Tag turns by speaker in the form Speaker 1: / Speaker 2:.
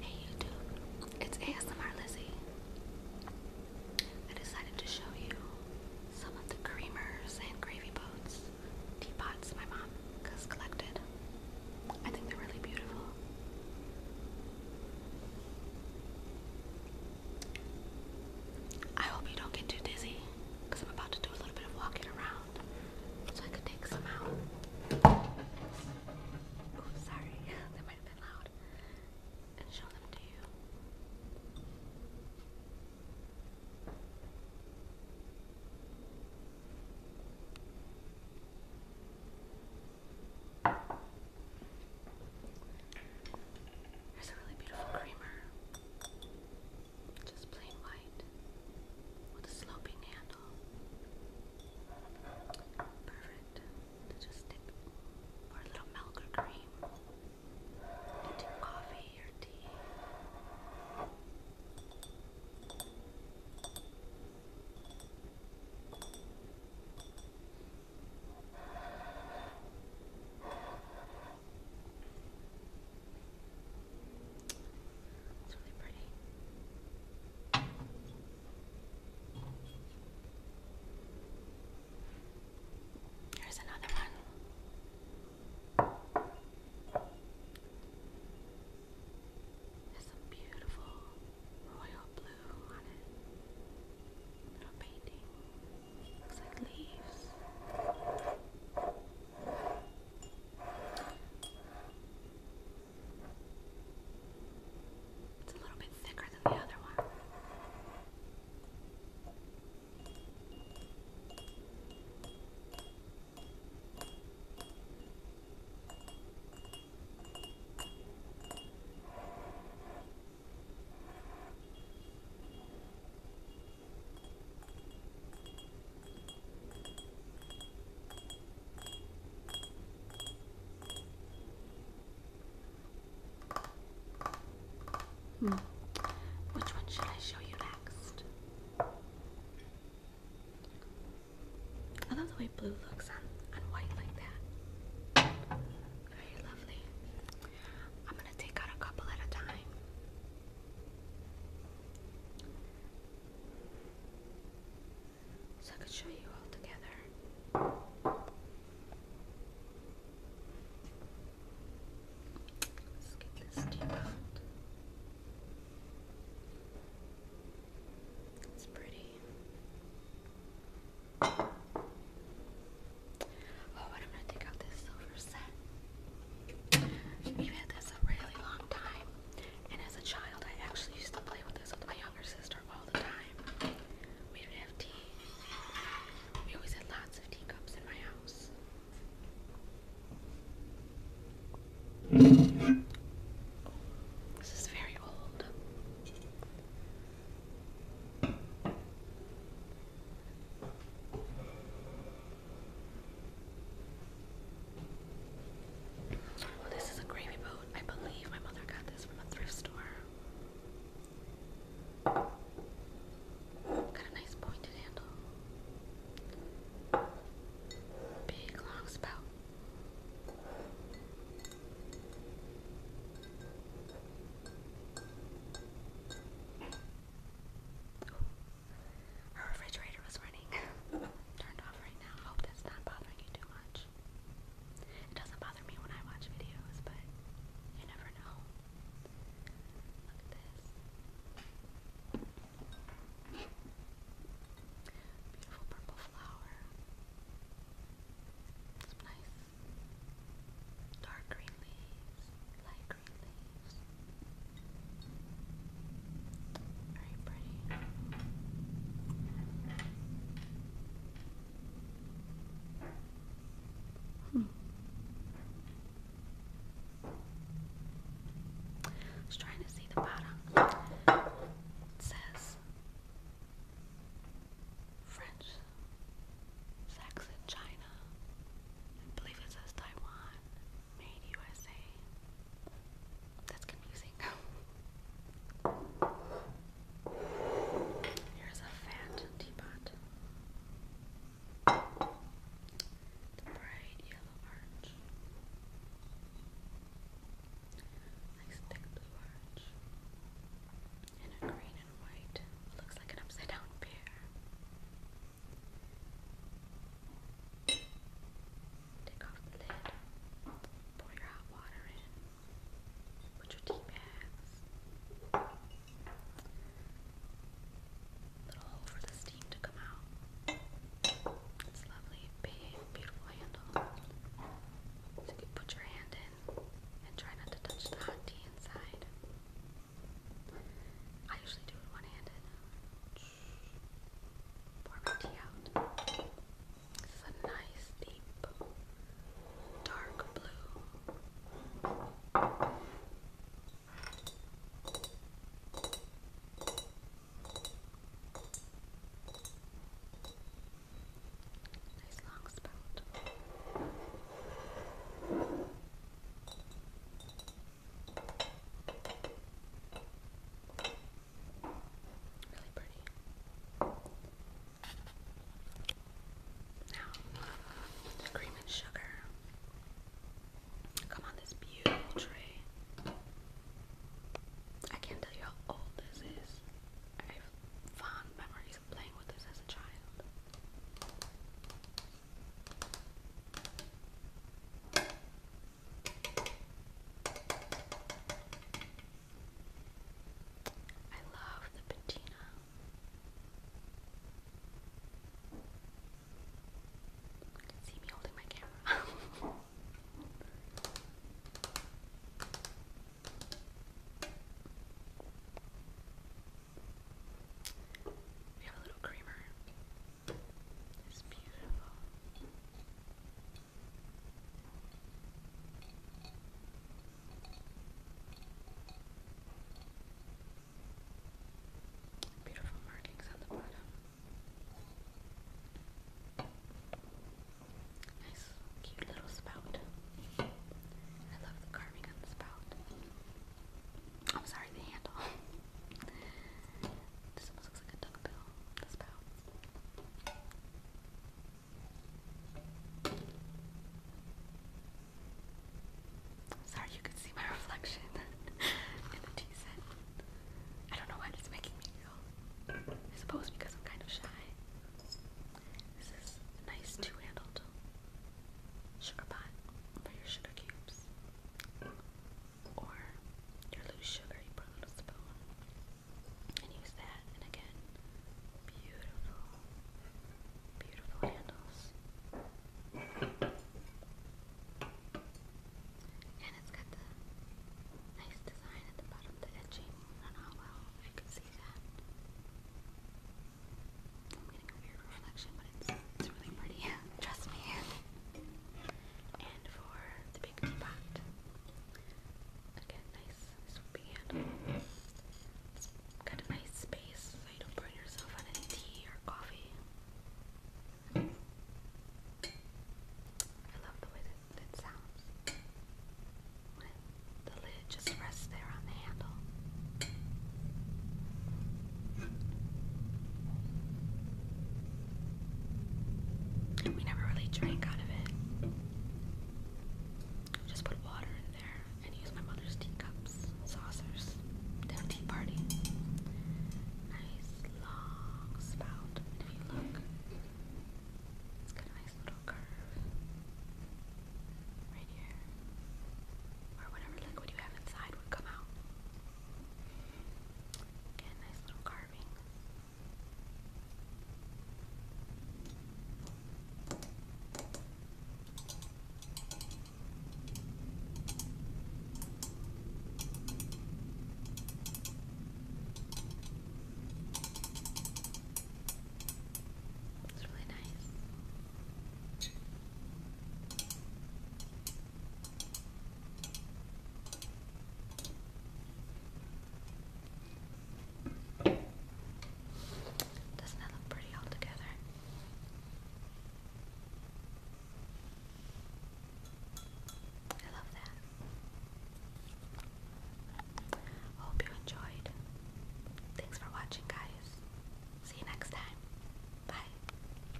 Speaker 1: Hey YouTube, it's ASMR Lizzie. I decided to show you some of the creamers and gravy boats, teapots my mom has collected. I think they're really beautiful. I hope you don't get too dizzy because I'm about to do a little bit of walking around so I could take some out. Oh, sorry, that might have been loud. And show them to you. There's a really beautiful creamer, just plain white, with a sloping hand all. Perfect. To just dip or a little milk or cream into coffee or tea. It's really pretty. Here's another one. There's a beautiful royal blue on it. Little painting. Looks like leaves. It's a little bit thicker than the other one. Hmm. Which one should I show you next? I love the way blue looks on, white like that. Very lovely. I'm going to take out a couple at a time so I could show you all together. Let's get this tape out. It's pretty. Oh, and i gonna take out this silver set. We've had this a really long time. And as a child, I actually used to play with this with my younger sister all the time. We would have tea. We always had lots of teacups in my house. This is very old this is a gravy boat. I believe my mother got this from a thrift store. Got a nice pointed handle. Big long spout. Her refrigerator was running. Turned off right now. Hope that's not bothering you too much. It doesn't bother me when I watch videos, but you never know. Look at this. Beautiful purple flower. Some nice dark green leaves, light green leaves. Very pretty. Hmm. I was trying to see the bottom. It says French, Saxon, China. I believe it says Taiwan. Made USA. That's confusing. Here's a fat teapot. The bright yellow arch. Nice thick blue arch. And a green and white. Looks like an upside down pear. Take off the lid, pour your hot water in, put your tea bags, little hole for the steam to come out. It's lovely, big, beautiful handle. So you put your hand in and try not to touch the hot tea inside. I usually do it one handed. Pour my tea out. It's a nice, deep, dark blue. Nice long spout. Really pretty. Now, the cream and sugar come on this beautiful tray. I can't tell you how old this is. I have fond memories of playing with this as a child. I love the patina. You can see me holding my camera. We have a little creamer. It's beautiful. Beautiful markings on the bottom. Nice, cute little spout. I love the carving on the spout. I'm sorry, the handle. Sorry, you could see my reflection in the tea set. I don't know what it's making me feel. I suppose because I'm kind of shy. This is a nice two-handled sugar pot for your sugar cubes or your loose sugar you put on a spoon and use that. And again, beautiful, beautiful handles. And it's got the nice design at the bottom, the edging. not well I can see that. I'm getting a weird reflection it's, really pretty. Trust me. And for the big teapot, again, nice swoopy handle. got a nice space so you yourself on any tea or coffee. I love the way that it sounds when the lid just rests there on the handle. And we never really drank out of it. Just put water in there and use my mother's teacups, saucers, to a tea party. Nice long spout. If you look, it's got a nice little curve right here. Or whatever liquid you have inside would come out. Again, nice little carving. It's really nice. Doesn't that look pretty all together? I love that. Hope you enjoyed. Thanks for watching, guys. See you next time. Bye.